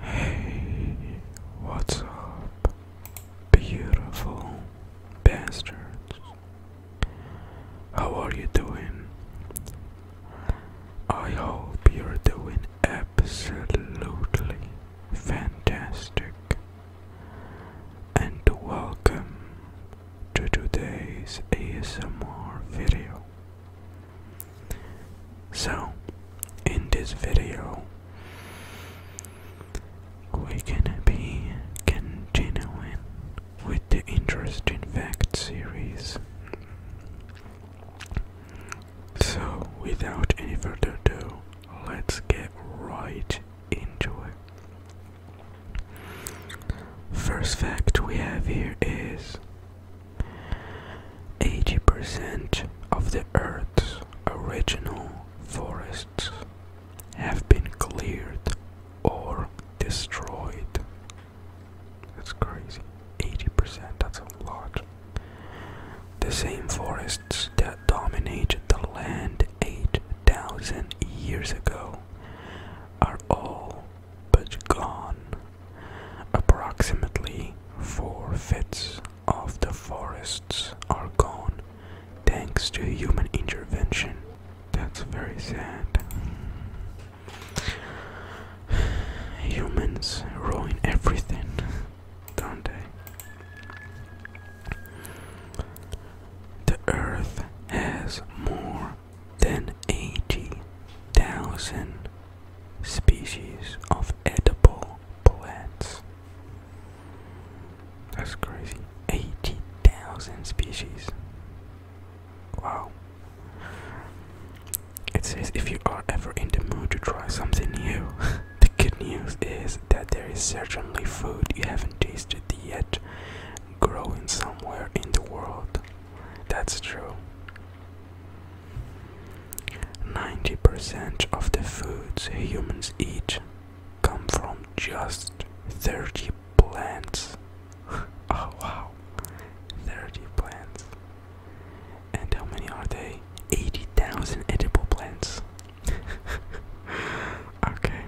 Hey, what's up, beautiful bastards? How are you doing? I hope you're doing absolutely fantastic. And welcome to today's ASMR video. So, in this video, we can be continuing with the interesting fact series. So, without any further ado, let's get right into it. First fact we have here is 80% of the Earth's original forests have been cleared or destroyed. That's crazy. 80%, that's a lot. The same forests that dominated the land 8,000 years ago are all but gone Approximately four-fifths of the forests are gone thanks to human intervention. That's very sad. Humans ruin everything, don't they? The earth has more than 80,000 species of edible plants. That's crazy. 80,000 species. Wow. It says if you are ever in the mood to try something new, the good news is that there is certainly food you haven't tasted yet growing somewhere in the world. That's true. 90% of the foods humans eat come from just 30 plants. oh wow, 30 plants. And how many are they? 80,000 edible plants. okay.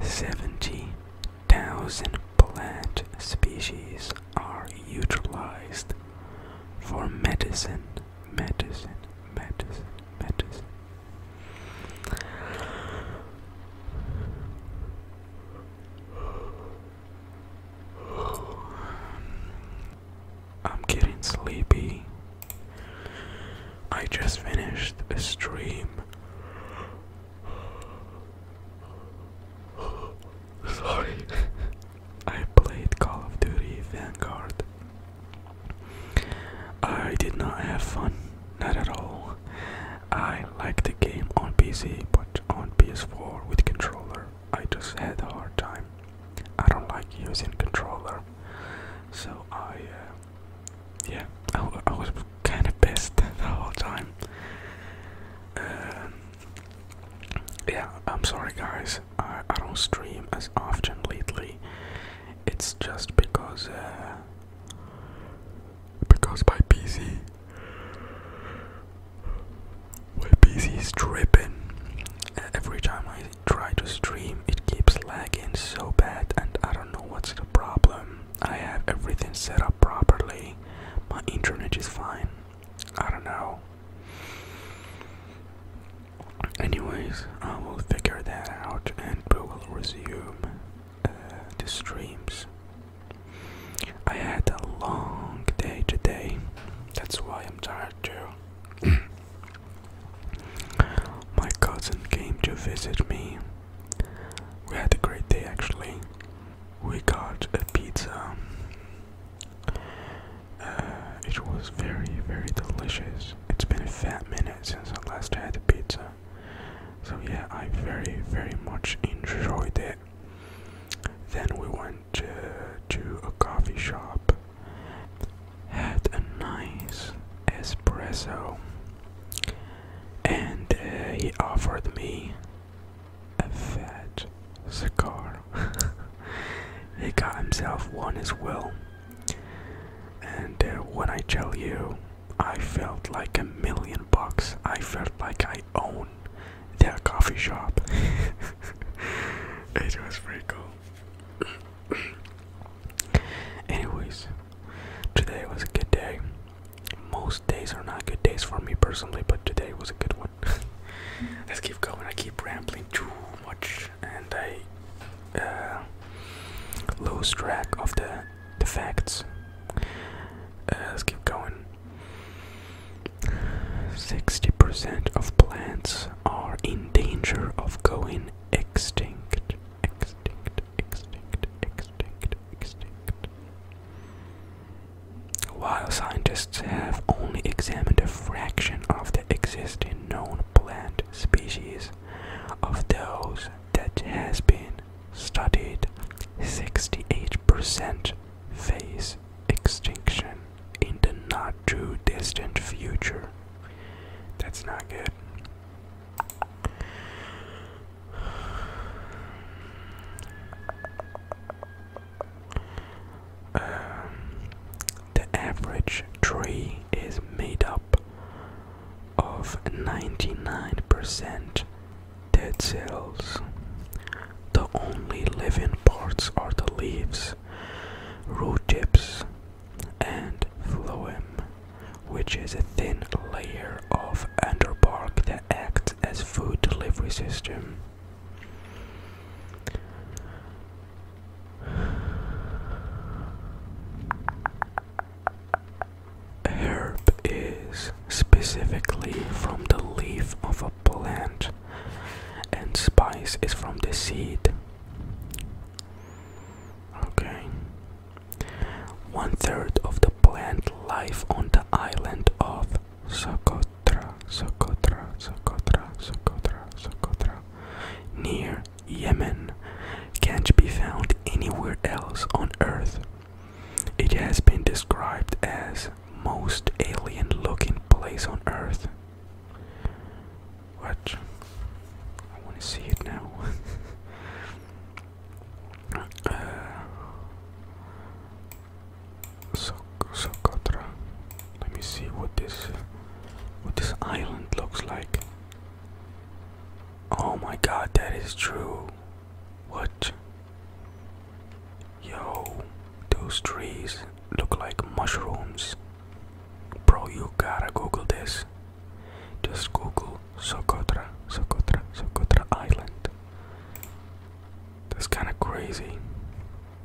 70,000 plant species are utilized for medicine, medicine, medicine, medicine. I'm getting sleepy. I just finished a stream. Sorry, I played Call of Duty Vanguard. I did not have fun, not at all. I like the game on PC, but on PS4 with controller, I just had a hard time. I don't like using controller, so I, uh, yeah, I, was kind of pissed the whole time. Um, yeah, I'm sorry guys. I, don't stream as often lately. It's just because uh, because my PC my PC is tripping. Every time I try to stream, it keeps lagging so bad, and I don't know what's the problem. I have everything set up properly. My internet is fine. I don't know. Anyways, I will figure that out and we will resume uh, the streams. I had a long day today, that's why I'm tired too. My cousin came to visit me. We had a great day actually. We got a pizza uh, it was very, very delicious. It's been a fat minute since I last had the pizza. So, yeah, I very, very much enjoyed it. Then we went to a coffee shop, had a nice espresso, and uh, he offered me a fat cigar. he got himself one as well. And uh, when I tell you, I felt like a million bucks. I felt like I own their coffee shop. it was pretty cool. Anyways, today was a good day. Most days are not good days for me personally, but today was a good one. Let's keep going. I keep rambling too much, and I uh, lose track of the the facts. Uh, let's keep going. Sixty percent of plants are in danger of going extinct. Extinct. Extinct. Extinct. Extinct. While scientists have only examined a fraction of the existing known plant species, of those that has been studied, 68% face extinction in the not too distant future. That's not good. Um, the average tree is made up of 99% dead cells. The only living parts are the leaves, root tips, and phloem, which is a thin layer of under bark that acts as food delivery system. Herb is specifically from the leaf of a plant, and spice is from the seed. Okay. One third of the plant life on the island of Socotra, Socotra, Socotra, Socotra, Socotra, near Yemen, can't be found anywhere else on Earth. It has been described as most alien-looking place on Earth. What? I want to see it now. Uh, Socotra. Let me see what this what this island looks like. Oh my god, that is true. What? Yo, those trees look like mushrooms. Bro, you gotta Google this. Just Google Sokotra, Sokotra, Sokotra Island. That's kind of crazy.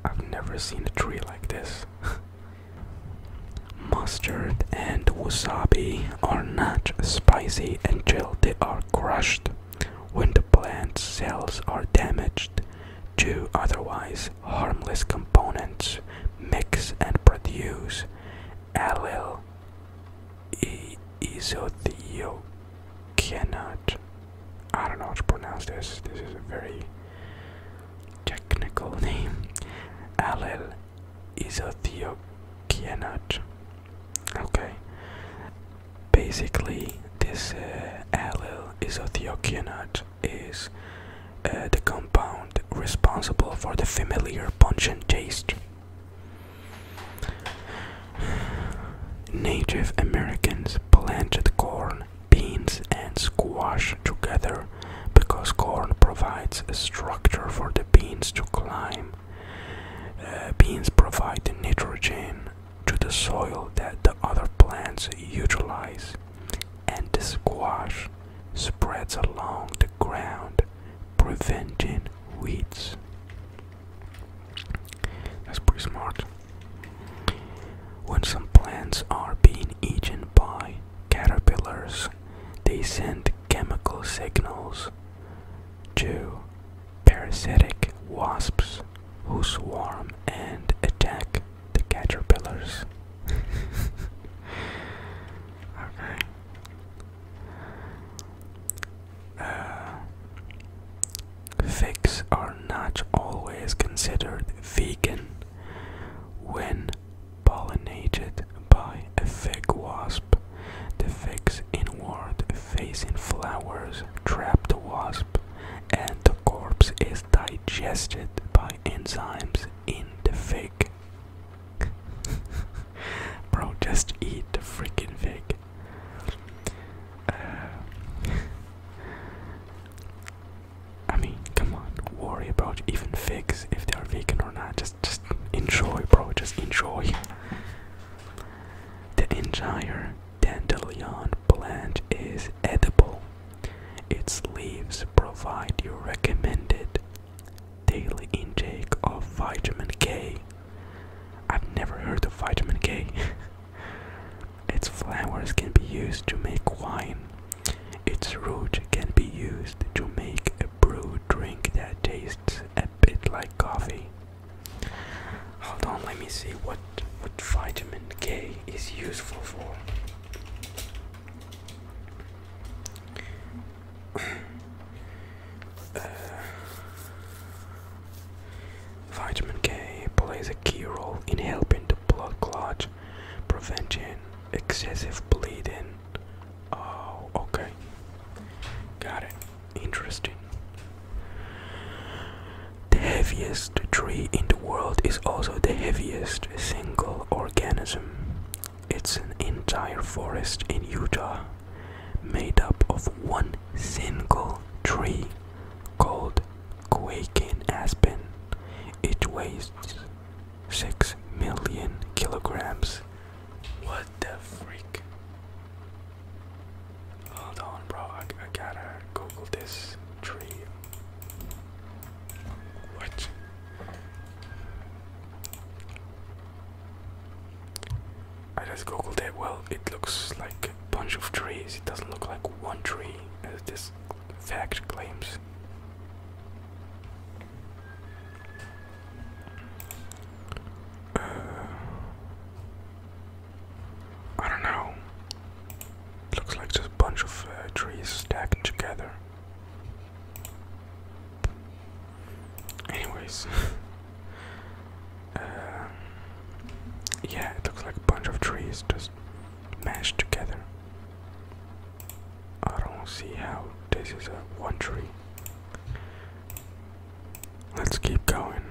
I've never seen a tree like this. Mustard and wasabi are not spicy until they are crushed when the plant's cells are damaged. Two otherwise harmless components mix and produce allyl isothiocyanate I don't know how to pronounce this. This is a very technical name. Allel is a theokianate. Okay. Basically, this uh, is a isothiocyanates is the compound responsible for the familiar pungent taste. Native Americans planted corn beans and squash together because corn provides a structure for the beans to climb. Uh, beans provide the nitrogen to the soil that the other plants utilize, and squash spreads along the ground, preventing weeds. That's pretty smart. When some plants are being eaten by caterpillars, they send chemical signals to parasitic wasps who swarm and attack the caterpillars. Uh, Figs are not always considered vegan when pollinated by a fig wasp. The fig's inward facing flowers trap the wasp, and the corpse is digested by enzymes in the fig. Bro, just eat the freaking fig. Uh, I mean, come on, worry about even figs if they are vegan or not. Just, just enjoy, bro. Just enjoy. The entire dandelion plant is edible. Its leaves provide your recommended daily intake of vitamin K. I've never heard of vitamin K. Its flowers can be used to make wine. Its root can be used to make a brew drink that tastes a bit like coffee. Hold on, let me see what what vitamin K is useful for. Uh, vitamin K plays a key role in helping the blood clot preventing excessive bleeding. Oh, okay. Got it. Interesting. The heaviest tree in the world is also the heaviest single organism. It's an entire forest in Utah made up of one single tree called quaking aspen. It weighs 6 million kilograms. What the freak? Hold on, bro. I, gotta Google this tree. What? I just googled it. Well, it looks like a bunch of trees. It doesn't look like one tree. It's this fact claims. Uh, I don't know. It looks like just a bunch of uh, trees stacked together. Anyways, um, yeah, it looks like a bunch of trees just mashed together. I don't see how this is a one tree. Let's keep going.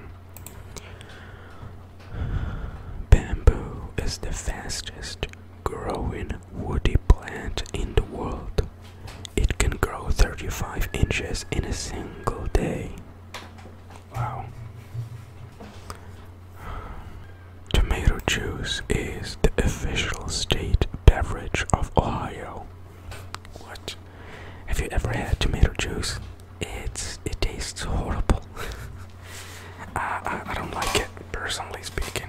Bamboo is the fastest growing woody plant in the world. It can grow 35 inches in a single day. Wow. Tomato juice is the official state beverage of Ohio. What? Have you ever had tomato juice? It's it tastes horrible. I, I don't like it personally speaking.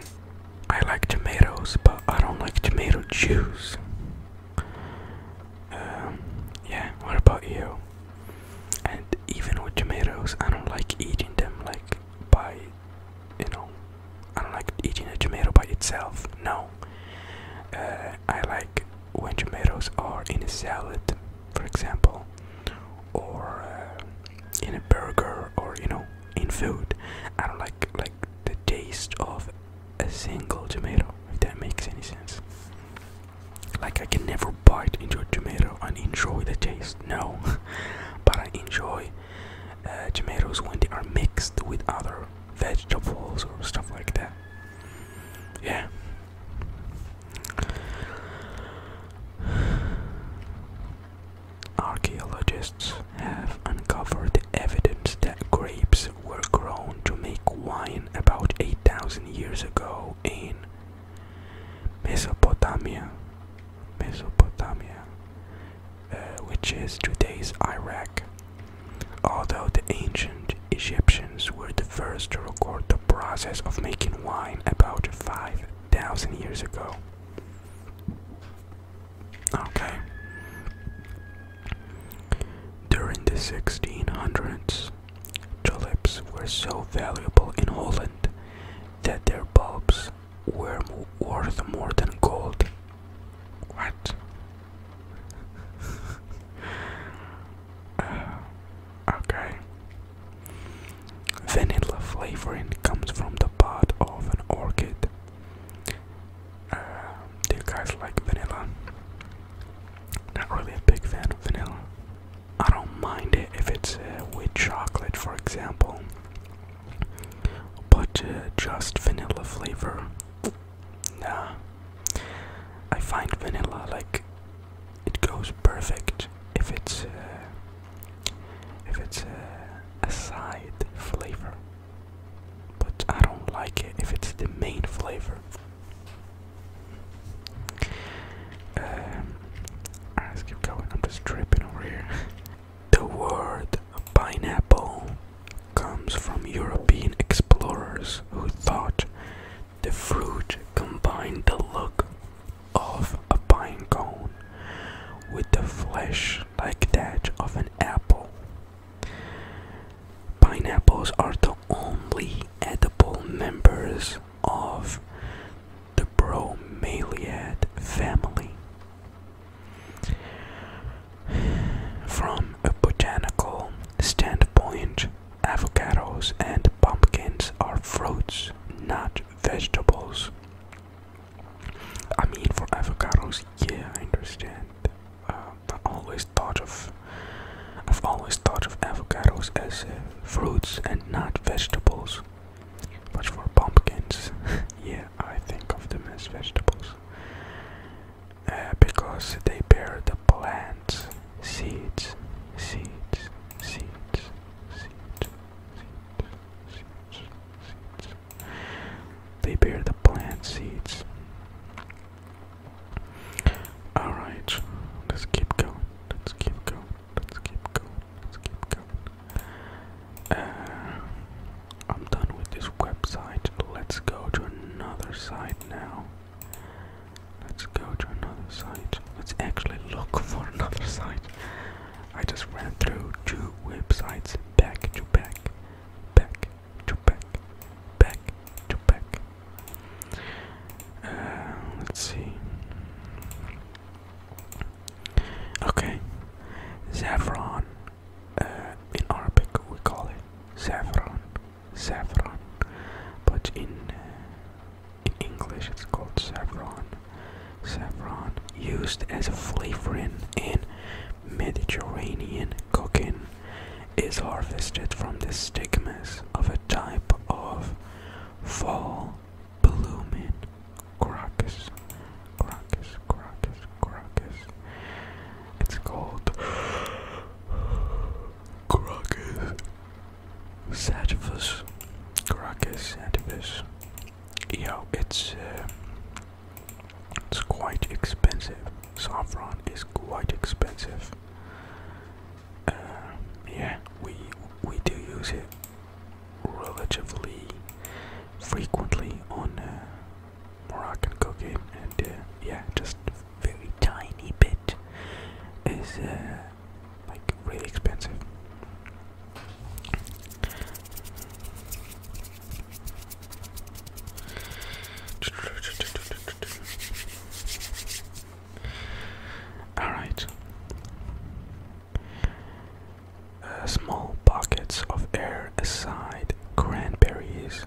I like tomatoes, but I don't like tomato juice. Um, yeah. What about you? And even with tomatoes, I don't like eating them like by, you know, I don't like eating a tomato by itself. No, uh, I like when tomatoes are in a salad, for example, or uh, in a burger, or you know, in food. I don't like like the taste of a single tomato. If that makes any sense. Like I can never bite into a tomato and enjoy the taste no, but I enjoy uh, tomatoes when they are mixed with other vegetables or stuff like that. Yeah. Archaeologists have uncovered evidence that grapes were grown to make wine about 8,000 years ago in Mesopotamia, Mesopotamia, uh, which is today's Iraq. Although the ancient Egyptians were the first to record the process of making wine about 5,000 years ago. Okay. During the 1600s, tulips were so valuable in Holland that their bulbs were worth more than gold. What? okay. Vanilla flavoring comes from the pod of an orchid. Uh, do you guys like vanilla? Not really a big fan of vanilla. I don't mind it if it's uh, with chocolate, for example, but uh, just vanilla flavor. Nah, I find vanilla like it goes perfect if it's uh, if it's uh, a side flavor, but I don't like it if it's the main flavor let's um, keep going. I'm just tripping over here. the word pineapple comes from European explorers who thought the fruit combined the look of a pine cone with the flesh like that of an apple. Pineapples are the only edible members of the bromeliad family. From a botanical standpoint, avocados and pumpkins are fruits, not vegetables. I mean, for avocados, yeah, I understand. Uh, I always thought of, I've always thought of avocados as uh, fruits and not vegetables. Watch for pumpkins. yeah, I think of them as vegetables. Uh, because they bear the plants, seeds, seeds, seeds, seeds, seeds, seeds, seeds. They bear the plant seeds. Alright, let's keep going, let's keep going, let's keep going. Let's keep going. Uh, I'm done with this website. Let's go to another site now. Let's go to another site. Let's actually look for another site. I just ran through two websites back to back, back to back, back to back. Uh, let's see. Okay, saffron. Uh, in Arabic, we call it saffron, saffron. But uh, in English, it's called saffron. Saffron used as a flavoring in Mediterranean cooking is harvested from the stigmas of a type of fall Bloomin' Crocus. Crocus, Crocus, Crocus. It's called Crocus Sativus. Crocus Sativus. Yo, it's uh, it's quite expensive. Saffron is quite expensive. Uh, yeah, we we do use it relatively frequently on uh, Moroccan cooking, and uh, yeah, just a very tiny bit is uh, like really expensive. All right. Uh, small pockets of air aside cranberries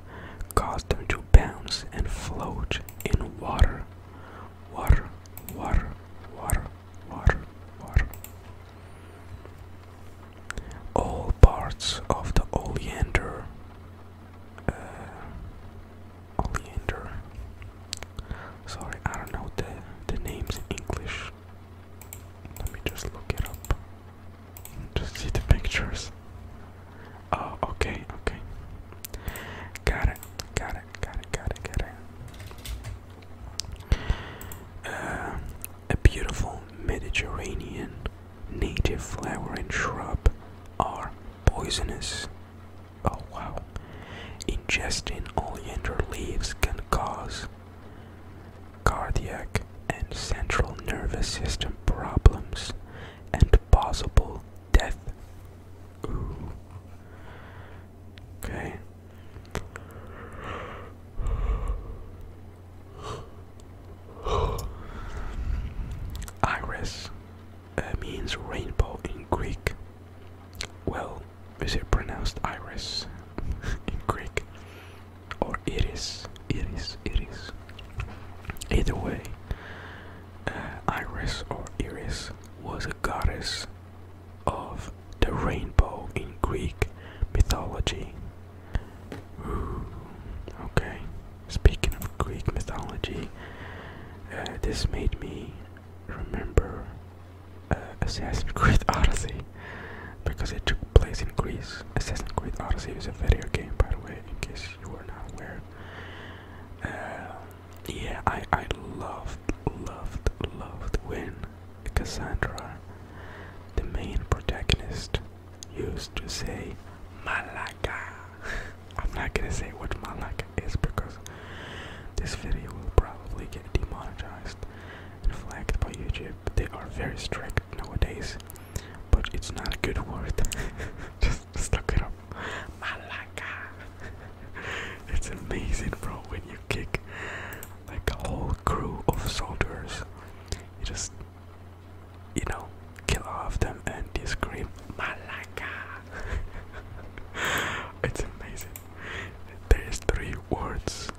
caused them to bounce and float in water. Water, water, water, water, water. All parts of the oleander. Uh, oleander. Sorry, I don't know the the names in English. Let me just look it up. Just see the pictures. Oh, okay, okay. Got it, got it, got it, got it, got it. Uh, a beautiful Mediterranean native flower and shrub are poisonous. Oh wow. Ingesting oleander leaves can cause cardiac and central nervous system problems, and possible death. Okay. Iris uh, means rainbow in Greek well, is it pronounced iris in Greek? Or iris? Iris, iris. Either way, uh, Iris or Iris was a goddess of the rainbow in Greek mythology. okay, speaking of Greek mythology, uh, this made me remember uh, Assassin's Creed Odyssey because it took place in Greece. Assassin's Creed Odyssey is a video game, by the way, in case you were not aware. Uh, yeah, I, I loved, loved, loved when Cassandra, the main protagonist, used to say Malaga. I'm not gonna say what Malaga is because this video will probably get demonetized flagged by YouTube. They are very strict nowadays, but it's not a good word. Just stuck it up. Malaka. it's amazing, bro, when you kick like a whole crew of soldiers. You just, you know, kill off them and they scream Malaka. it's amazing. There's three words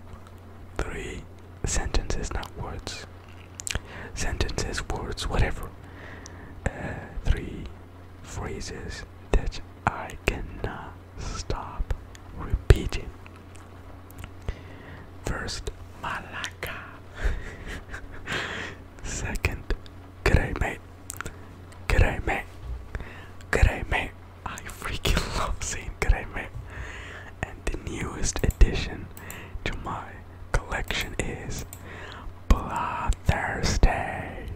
three sentences, not words. Sentences, words, whatever. Uh, three phrases that I cannot stop repeating. First, Malaka. Second, G'day mate. G'day mate. G'day mate. I freaking love Saint Greme. And the newest addition to my collection is Blood Thursday.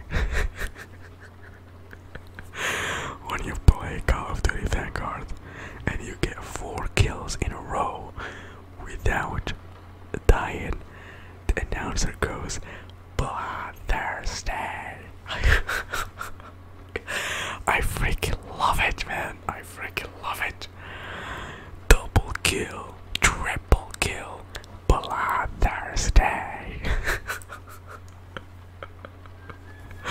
when you play Call of Duty Vanguard and you get four kills in a row without dying, the announcer goes Blood Thursday. I freaking love it, man. I freaking love it. Double kill, triple kill, Blood Thursday.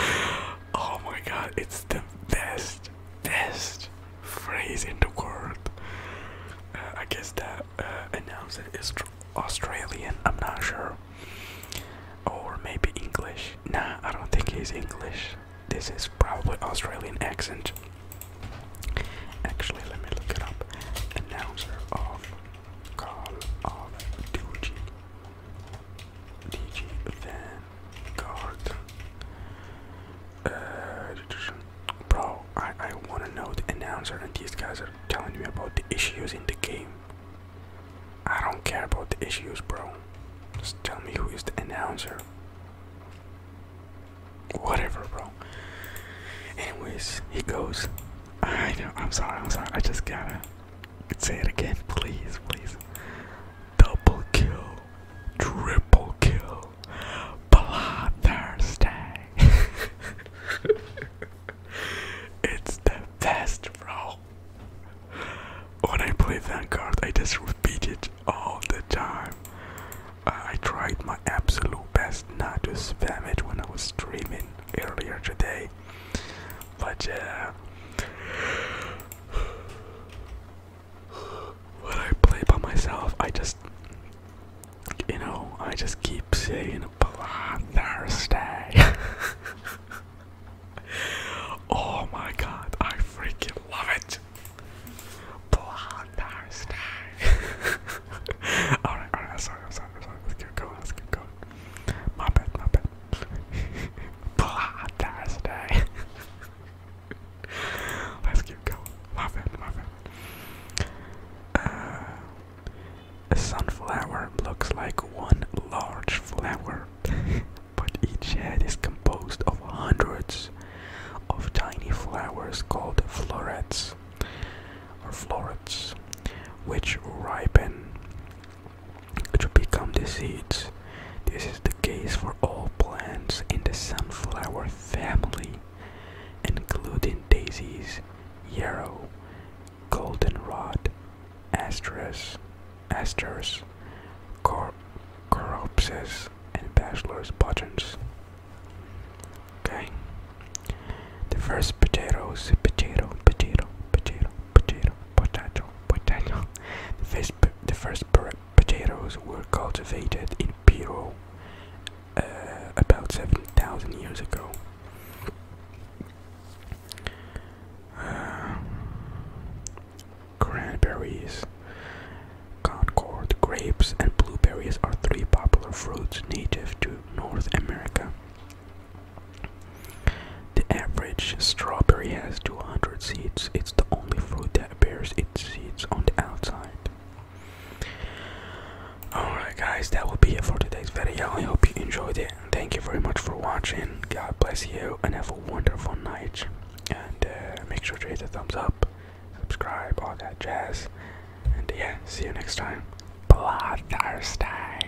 oh my god, it's the best, best phrase in the world. Uh, I guess that uh, announcer is Australian, I'm not sure. Or maybe English. Nah, I don't think he's English. This is probably Australian accent. Actually, let me look it up. Announcer of Call of Duty. DG Vanguard. Uh, bro, I, I want to know the announcer, and these guys are telling me about the issues in the game. I don't care about the issues, bro. Just tell me who is the announcer. Whatever, bro. Anyways, he goes. I know. I'm sorry. I'm sorry. I just gotta say it again, please, please. Double kill, triple kill, bloodthirsty. it's the best, bro. When I play Vanguard, I just repeat it all the time. Uh, I tried my absolute best not to spam it when I was streaming earlier today, but yeah. Uh, when I play by myself, I just, you know, I just keep saying Black Thursday. oh my god, I freaking love it. Thursday. alright, alright, sorry, sorry, sorry. Let's keep going, let's keep going. My bad, my bad. Thursday. let's keep going. My bad, my bad. Uh, a sunflower looks like one large flower but each head is composed of hundreds of tiny flowers called florets or florets, which ripen to become the seeds. This is the case for all plants in the sunflower family, including daisies, yarrow, goldenrod, asters, asters, cor coropses, and bachelor's buttons. Okay. The first potatoes, potato, potato, potato, potato, potato, potato. The first, the first potatoes were cultivated in Peru uh, about 7,000 years ago. cranberries, concord, grapes, and blueberries are three popular fruits native to North America. The average strawberry has 200 seeds. It's the only fruit that bears its seeds on the outside. Alright, guys, that will be it for today's video. I hope you enjoyed it thank you very much for watching. God bless you and have a wonderful night. And uh, make sure to hit the thumbs up, subscribe, all that jazz. And yeah, see you next time. Blood Thursday.